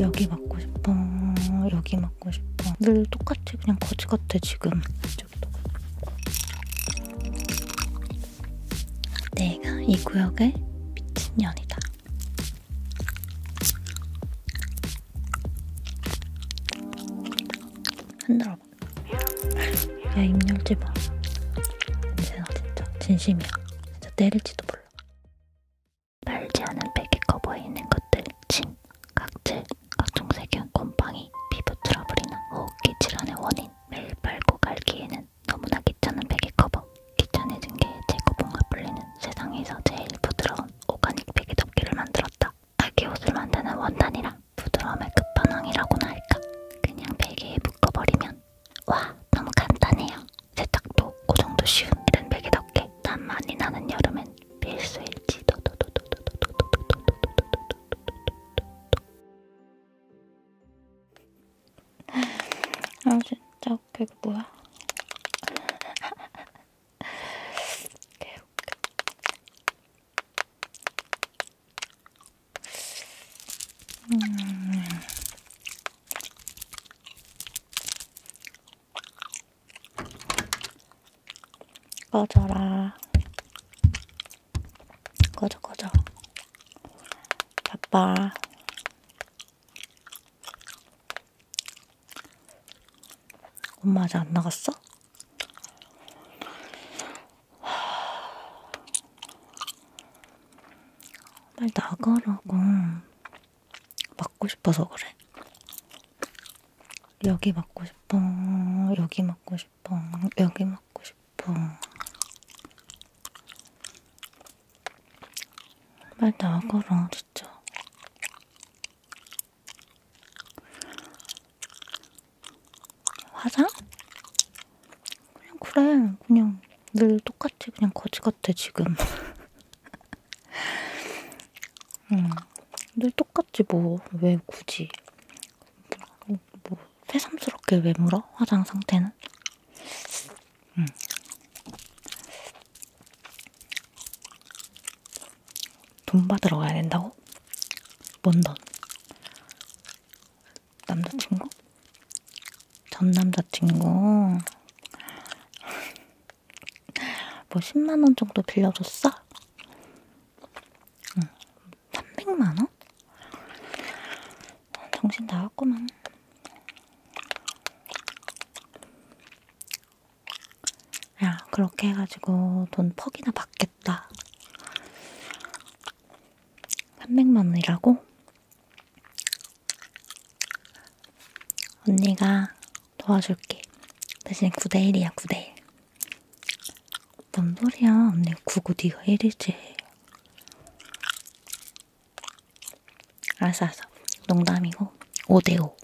여기 맞고 싶어 여기 맞고 싶어 늘 똑같이 그냥 거지 같아 지금 이쪽도 내가 이 구역의 미친년이다 흔들어봐 야입 열지 마 이제 나 진짜 진심이야 진짜 때릴지도 몰라 달지 않은 팩이 커버에 있는 것들, 침, 각질, 각종 세균, 곰팡이, 피부 트러블이나 호흡기 질환의 원인 매일 빨고 갈기에는 너무나 귀찮은 팩이 커버 귀찮아진 게 재고봉과 불리는 세상에서 제일 부드러운 오가닉 팩이 덮개를 만들었다 아기 옷을 만드는 원단이라 부드러움의 끝판왕이라고나 할까 그냥 베개에 묶어버리면 와 너무 간단해요 세탁도 그 정도 쉬운 이런 백이 덕에 땀 많이 나는 여름엔 필수일지 아 진짜 웃겨 이거 뭐야? 개웃겨 음... 꺼져라. 꺼져, 꺼져. 바빠. 엄마 아직 안 나갔어? 빨리 나가라고. 맞고 싶어서 그래. 여기 맞고 싶어. 여기 맞고 싶어. 여기 맞고 싶어. 빨리 나가라, 진짜. 화장? 그냥 그래. 그냥 늘 똑같 똑같이 그냥 거지 같아 지금. 응, 늘 음. 똑같지 뭐왜 굳이 뭐, 뭐 새삼스럽게 왜 물어 화장 상태는? 응. 음. 돈 받으러 가야 된다고? 뭔 돈? 남자친구? 전 남자친구 뭐 10만원 정도 빌려줬어? 응. 300만원? 정신 나갔구만. 야, 그렇게 해가지고 돈 퍽이나 받겠다. 300만원이라고? 언니가 도와줄게. 대신 9대1이야, 9대1. 뭔 소리야, 언니 9고 네가 1이지. 알았어, 알았어. 농담이고 5대5.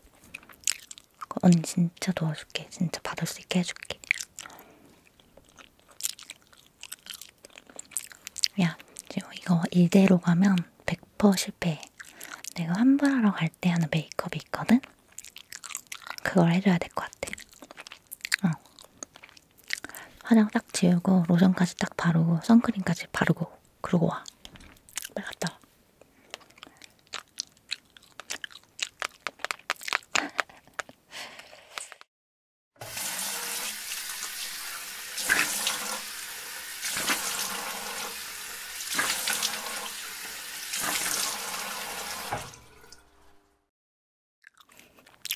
언니 진짜 도와줄게. 진짜 받을 수 있게 해줄게. 야, 지금 이거 1대로 가면 100% 샴푸 실패. 내가 환불하러 갈 때 하는 메이크업이 있거든? 그걸 해줘야 될 것 같아. 어. 화장 딱 지우고 로션까지 딱 바르고 선크림까지 바르고 그러고 와. 빨리 갔다 와.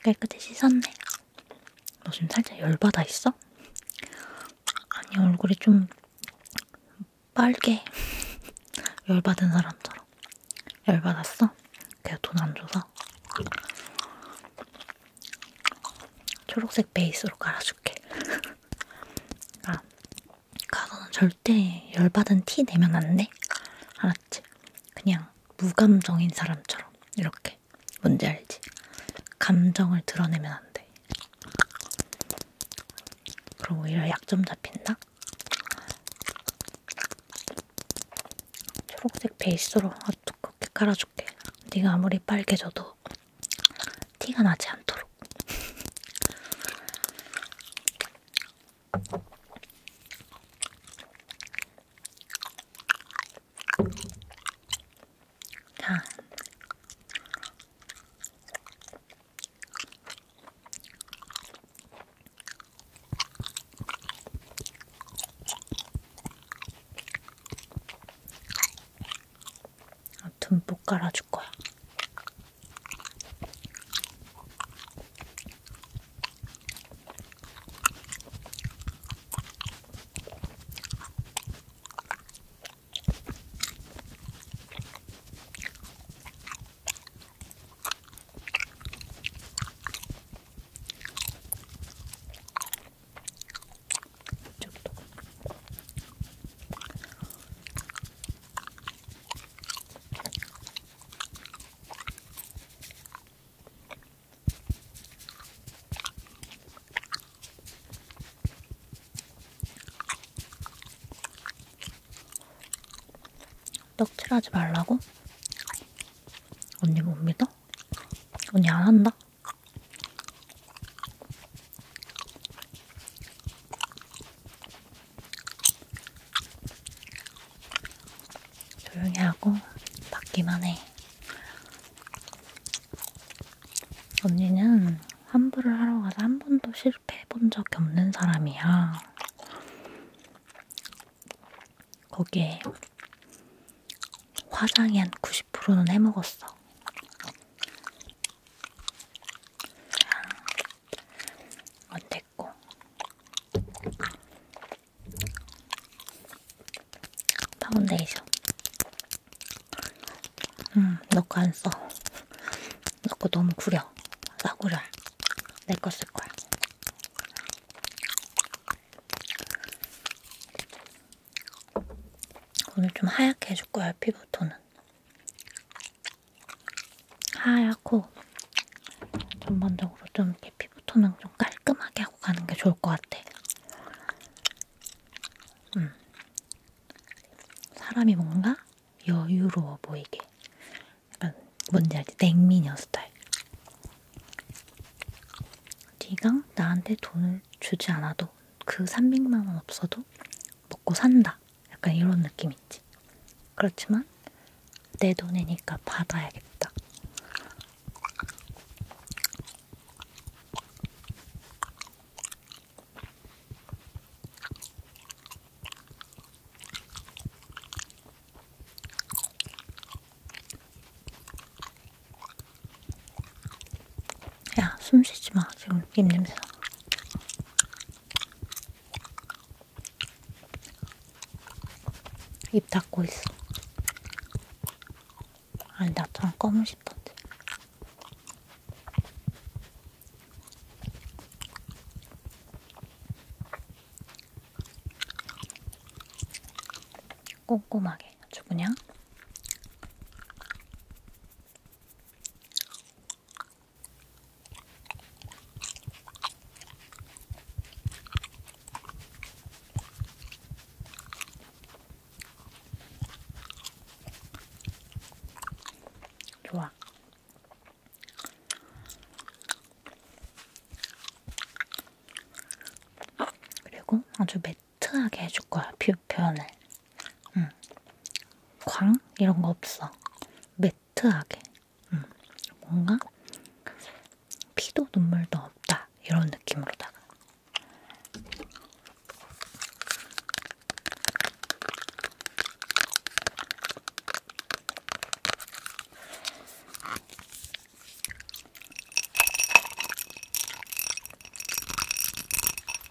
깨끗이 씻었네. 너 지금 살짝 열받아 있어? 아니, 얼굴이 좀 빨개. 열받은 사람처럼. 열받았어? 걔가 돈 안 줘서. 초록색 베이스로 깔아줄게. 아, 가서는 절대 열받은 티 내면 안 돼. 알았지? 그냥 무감정인 사람처럼 이렇게. 뭔지 알지? 감정을 드러내면 안 돼. 그럼 오히려 약점 잡힌다? 초록색 베이스로 어떻게 아, 깔아줄게. 네가 아무리 빨개져도 더 티가 나지 않도록. 자. 듬뿍 깔아줄 거야. 이쪽도. 떡칠하지 말라고? 언니 못 믿어? 언니 안 한다? 조용히 하고 받기만 해. 언니는 환불을 하러 가서 한 번도 실패해 본 적이 없는 사람이야. 거기에 화장이 한 90%는 해먹었어. 아, 안 됐고. 파운데이션. 음, 너거 안 써. 너 거 너무 구려. 싸구려. 내 거 쓸 거야. 오늘 좀 하얗게 해줄 거야, 피부톤은. 하얗고, 전반적으로 좀 이렇게 피부톤은 좀 깔끔하게 하고 가는 게 좋을 것 같아. 음. 사람이 뭔가 여유로워 보이게. 약간 뭔지 알지? 냉미녀 스타일. 네가 나한테 돈을 주지 않아도 그 300만원 없어도 먹고 산다. 약간 이런 느낌 있지. 그렇지만 내 돈이니까 받아야겠다. 야, 숨 쉬지 마. 지금 입 냄새 나. 입 닫고 있어. 아니, 나처럼 검은 싶던데. 꼼꼼하게 아주 그냥 좋아. 그리고 아주 매트하게 해줄 거야, 표, 표현을. 응. 음. 광? 이런 거 없어. 매트하게. 응. 음. 뭔가 피도 눈물도 없다. 이런 느낌으로다가.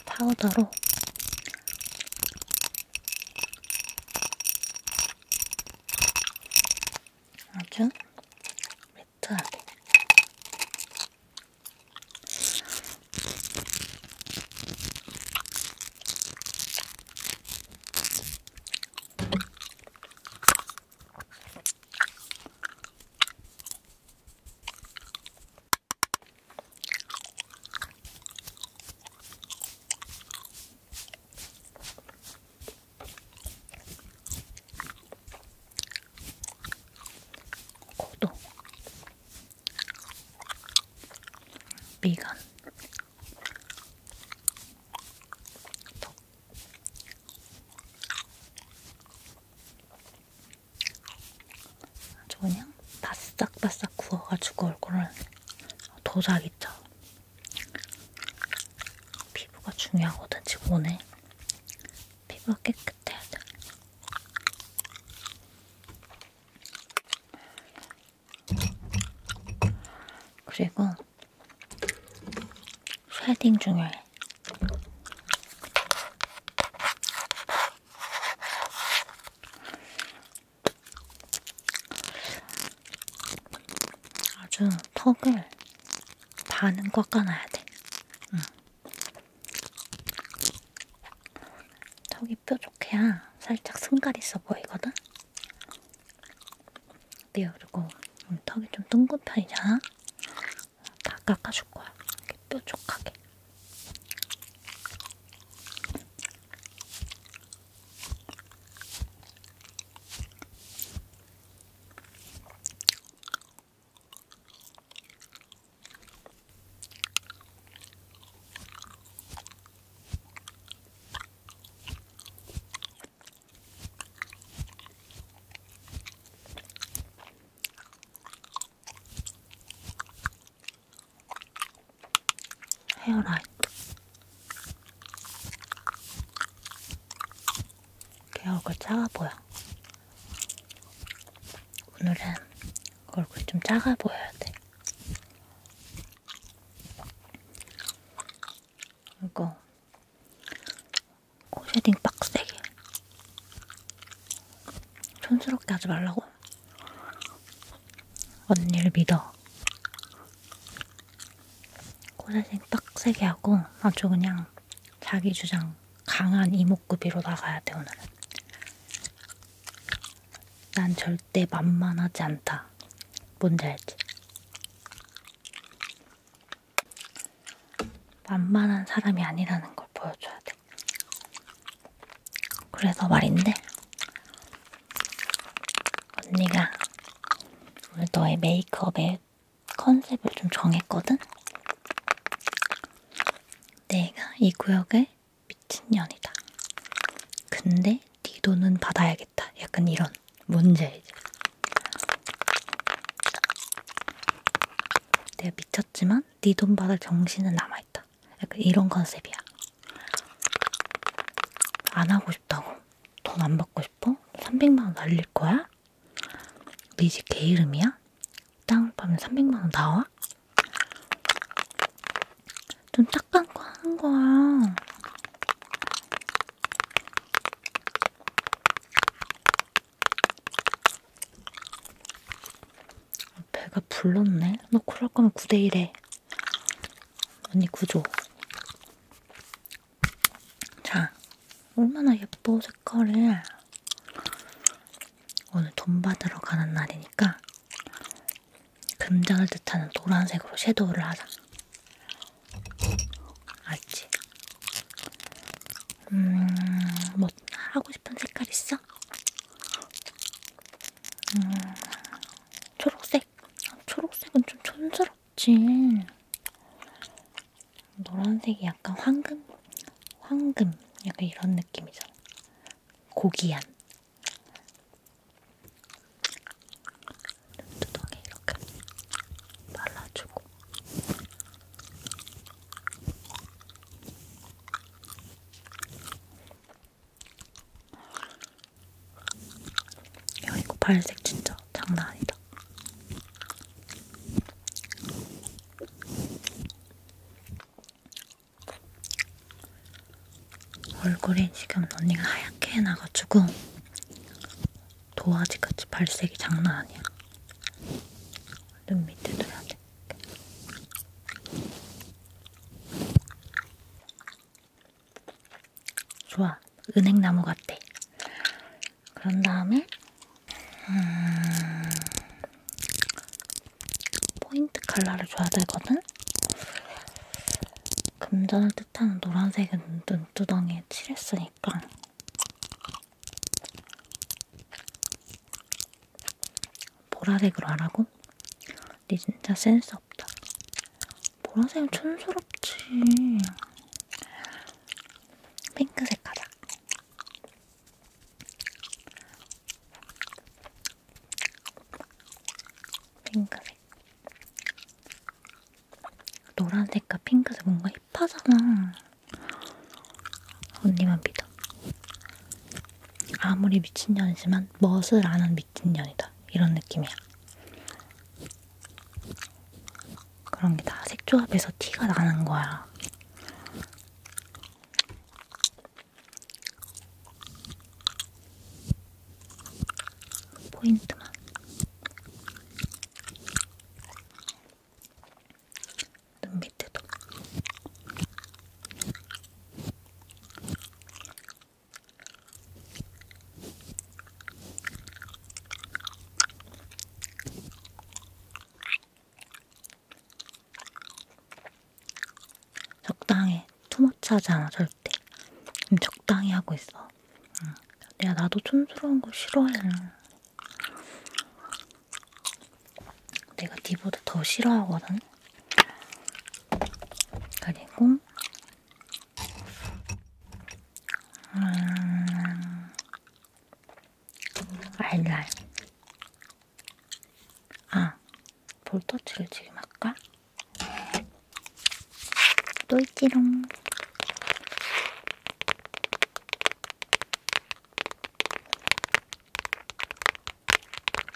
파우더로 아주 매트하게 고도 미간 덕 아주 그냥 바싹바싹 구워가지고 얼굴을 도자기죠. 피부가 중요하거든, 지금 오늘. 피부가 깨끗해야 돼. 그리고 쉐딩 중요해. 아주 턱을 반은 꺾어놔야 돼. 응. 턱이 뾰족해야 살짝 승갈 있어 보이거든? 네요. 그리고 턱이 좀 둥근 편이잖아. 다 깎아줄 거야. 이렇게 뾰족하게. 헤어라이트 걔 얼굴 작아보여 오늘은 얼굴 좀 작아보여야 돼 이거 쉐딩 빡세게. 촌스럽게 하지 말라고. 언니를 믿어. 코쉐딩 빡세게 하고 아주 그냥 자기 주장 강한 이목구비로 나가야 돼 오늘은. 난 절대 만만하지 않다. 뭔지 알지? 만만한 사람이 아니라는 걸 보여줘야 돼. 그래서 말인데, 언니가 오늘 너의 메이크업의 컨셉을 좀 정했거든? 내가 이 구역의 미친년이다. 근데 네 돈은 받아야겠다. 약간 이런 문제이죠. 내가 미쳤지만 네 돈 받을 정신은 남아있다. 약간 이런 컨셉이야. 안 하고 싶다고. 돈 안 받고 싶어? 300만원 날릴 거야? 네집개 이름이야? 땅 파면 300만원 나와? 좀 짝감고 하는 거야. 배가 불렀네? 너 그럴 거면 9대1에 언니 구조 자 얼마나 예뻐 색깔을 오늘 돈 받으러 가는 날이니까 금전을 뜻하는 노란색으로 섀도우를 하자 알지? 음, 뭐 하고 싶은 색깔 있어? 음, 초록색? 초록색은 좀 촌스럽지. 노란색이 약간 황금? 황금. 약간 이런 느낌이잖아. 고귀한. 눈두덩이 이렇게 발라주고 야 이거 발색 진짜 장난 아니다. 얼굴이 지금 언니가 하얗게 해놔가지고 도화지같이 발색이 장난 아니야. 눈 밑에 둬야 돼. 좋아. 은행나무 같아. 그런 다음에 음... 포인트 컬러를 줘야 되거든? 금전을 뜻하는 노란색은 눈두덩이에 칠했으니까 보라색으로 하라고? 니 진짜 센스 없다. 보라색은 촌스럽지. 핑크색 하자. 핑크색. 노란색과 핑크색 뭔가 힙하잖아. 언니만 믿어. 아무리 미친년이지만 멋을 아는 미친년이다. 이런 느낌이야. 그런 게 다 색조합에서 티가 나는 거야. 포인트만. 눈 밑에도. 적당히 투머치하지 않아도 어렸을 때 음, 적당히 하고 있어. 응. 음, 야 나도 촌스러운 거 싫어해. 내가 니보다 더 싫어하거든. 그리고 음, 알랄. 아 볼터치를 지금 할까? 또 있지롱.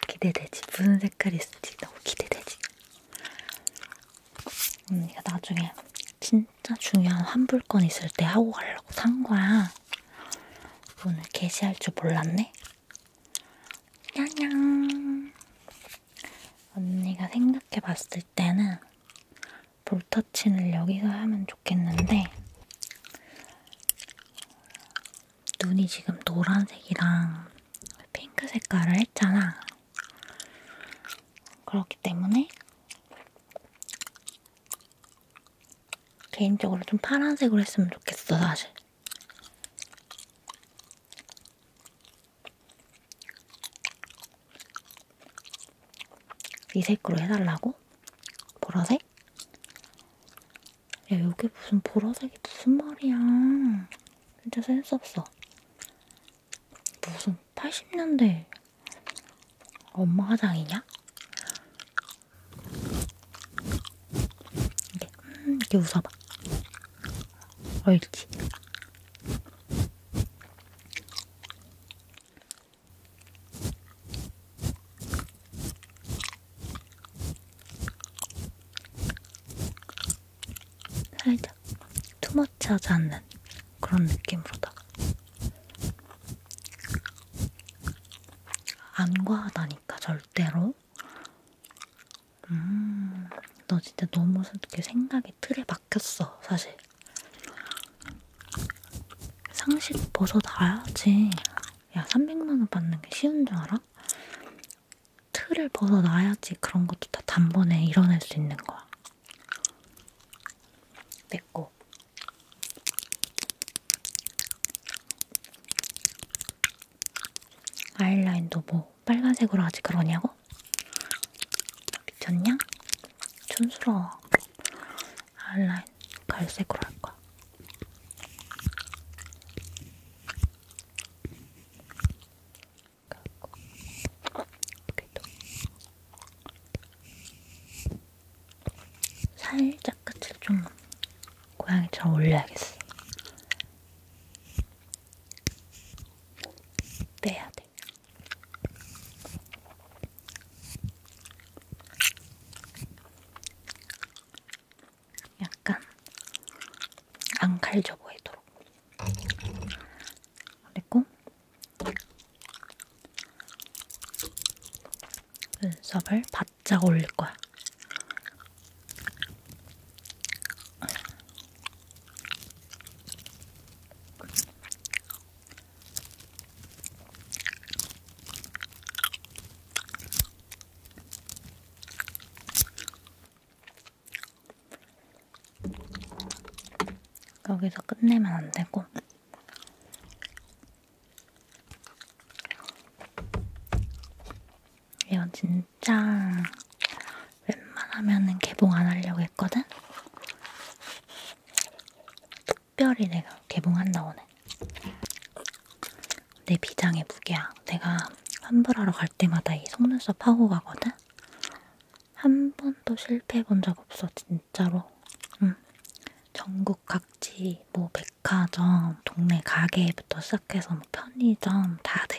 기대되지. 무슨 색깔이 있을지 너무 기대되지. 언니가 나중에 진짜 중요한 환불권 있을 때 하고 가려고 산 거야. 오늘 게시할 줄 몰랐네. 냥냥. 언니가 생각해 봤을 때는 볼터치를 여기서 하면 좋겠는데 눈이 지금 노란색이랑 핑크 색깔을 했잖아. 그렇기 때문에 개인적으로 좀 파란색으로 했으면 좋겠어, 사실. 이 색으로 해달라고? 보라색? 야 여기 무슨 보라색이 무슨 말이야 진짜 센스없어 무슨 80년대 엄마 화장이냐? 이게 음, 이게 웃어봐 얼지 살짝 투머치하지 않는 그런 느낌으로다가 안 과하다니까 절대로 음, 너 진짜 너무 이렇게 생각이 틀에 박혔어, 사실. 상식 벗어나야지. 야, 300만원 받는 게 쉬운 줄 알아? 틀을 벗어나야지 그런 것도 다 단번에 이뤄낼 수 있는 거야. 됐고. 아이라인도 뭐 빨간색으로 아직 그러냐고? 미쳤냐? 촌스러워. 아이라인 갈색으로 할 거야. 살짝 끝을 좀 고양이처럼 올려야겠어. 내야 돼. 약간 안 갈져 보이도록. 그리고 눈썹을 바짝 올릴 거야. 여기서 끝내면 안 되고 이거 진짜 웬만하면은 개봉 안 하려고 했거든? 특별히 내가 개봉한다 오늘. 내 비장의 무게야. 내가 환불하러 갈 때마다 이 속눈썹 하고 가거든? 한 번도 실패해 본 적 없어, 진짜로. 응. 전국 각지, 뭐, 백화점, 동네 가게부터 시작해서 뭐 편의점 다 돼.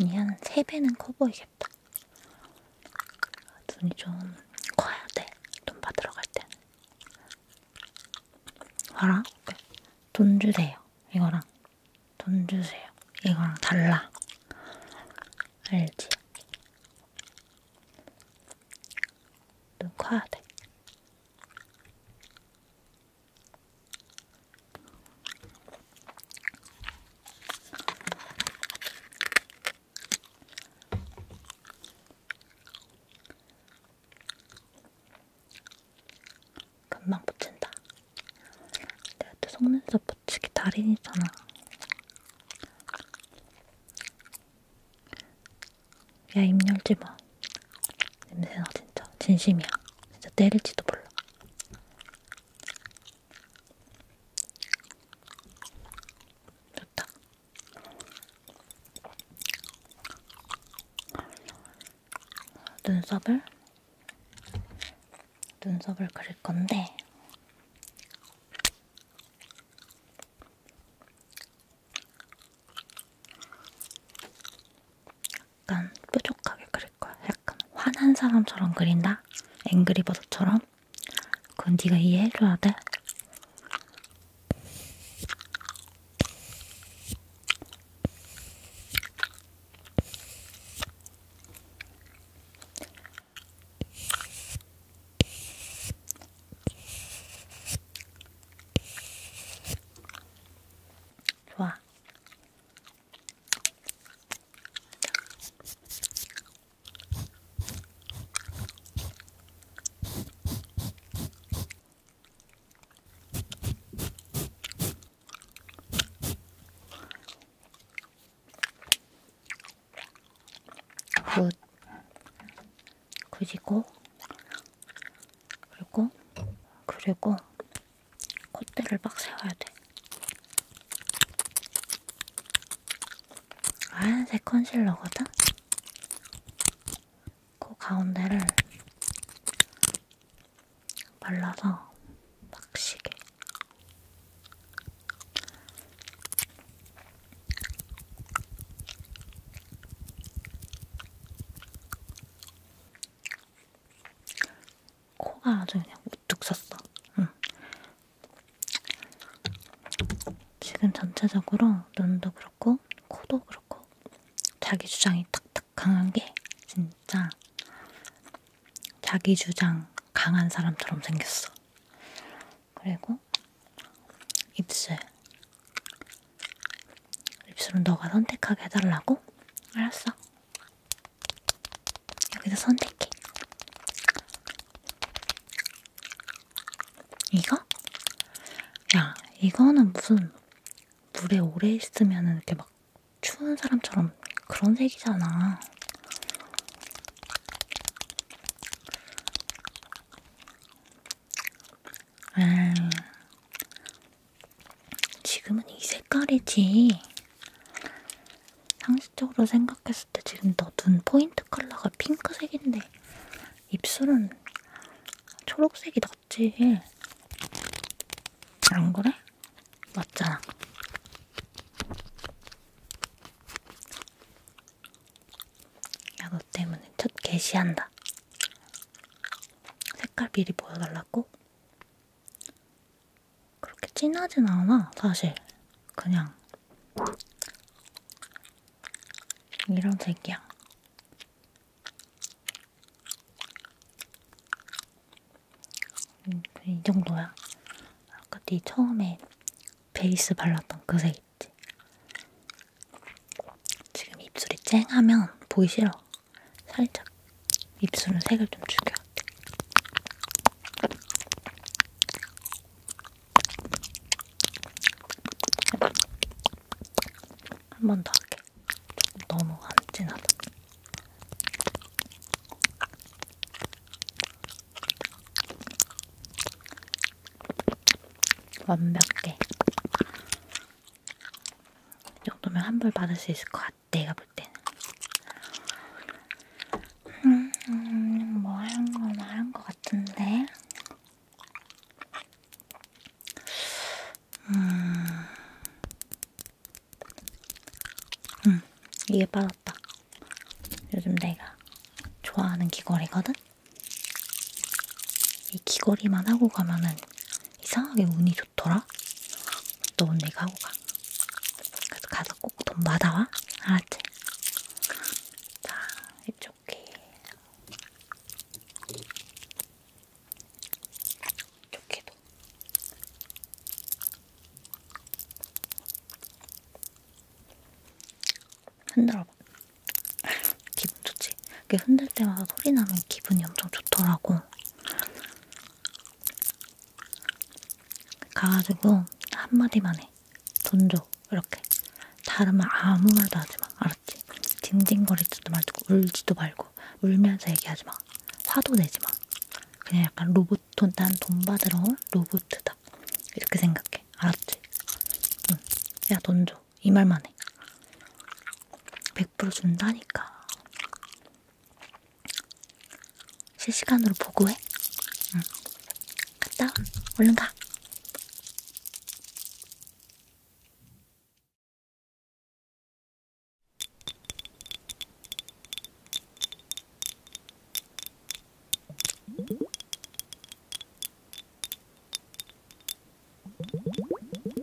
눈이 한 3배는 커 보이겠다. 모르겠다. 눈이 좀 커야 돼. 돈 받으러 갈 때는. 봐라. 돈 주세요. 이거랑. 돈 주세요. 이거랑 달라. 알지? 눈 커야 돼. 금방 붙인다. 내가 또 속눈썹 붙이기 달인이잖아. 야, 입 열지 마. 냄새나, 진짜. 진심이야. 진짜 때릴지도 몰라. 좋다. 눈썹을 눈썹을 그릴 건데 약간 뾰족하게 그릴 거야. 약간 화난 사람처럼 그린다. 앵그리버드처럼. 그건 네가 이해해줘야 돼. 좋아. 굿 그리고 그리고 그리고 콧대를 빡 세워야 돼. 하얀색 컨실러거든? 코 그 가운데를 발라서 빡시게 코가 아주 그냥 우뚝 섰어. 응. 지금 전체적으로 눈도 그렇고 코도 그렇고 자기 주장이 탁탁 강한 게 진짜 자기 주장 강한 사람처럼 생겼어. 그리고 입술. 입술은 너가 선택하게 해달라고? 알았어. 여기서 선택해. 이거? 야, 이거는 무슨 물에 오래 있으면 이렇게 막 추운 사람처럼 그런 색이잖아. 아, 지금은 이 색깔이지. 상식적으로 생각했을 때 지금 너 눈 포인트 컬러가 핑크색인데 입술은 초록색이 낫지. 안 그래? 맞잖아. 야, 너 때문에 첫 개시한다. 색깔 미리 보여달라고? 그렇게 진하진 않아, 사실. 그냥. 이런 색이야. 음, 이 정도야. 아까 네 처음에 베이스 발랐던 그 색 있지? 지금 입술이 쨍하면 보기 싫어. 살짝 입술은 색을 좀 죽여. 한 번 더 할게. 너무 안 진하다. 완벽해. 이 정도면 환불 받을 수 있을 것 같아. 내가 볼 때는 음, 음, 뭐 하는 거 말한 거 같은데 음, 음 이게 빠졌다. 요즘 내가 좋아하는 귀걸이거든? 이 귀걸이만 하고 가면은 이상하게 운이 좋더라? 너 오늘 이거 하고 가. 그래서 가서 꼭 돈 받아와. 알았지? 자, 이쪽 귀. 이쪽 귀도. 흔들어봐. 기분 좋지? 이게 흔들 때마다 소리 나면 기분이 엄청 좋더라고. 가가지고 한마디만 해. 돈 줘. 이렇게. 다른 말 아무 말도 하지 마. 알았지? 징징거리지도 말고 울지도 말고 울면서 얘기하지 마. 화도 내지 마. 그냥 약간 로봇 돈, 난돈 받으러 온 로봇이다. 이렇게 생각해. 알았지? 응. 야, 돈 줘. 이 말만 해. 100% 준다니까. 실시간으로 보고해. 응. 갔다 와. 얼른 가. 도잉 도잉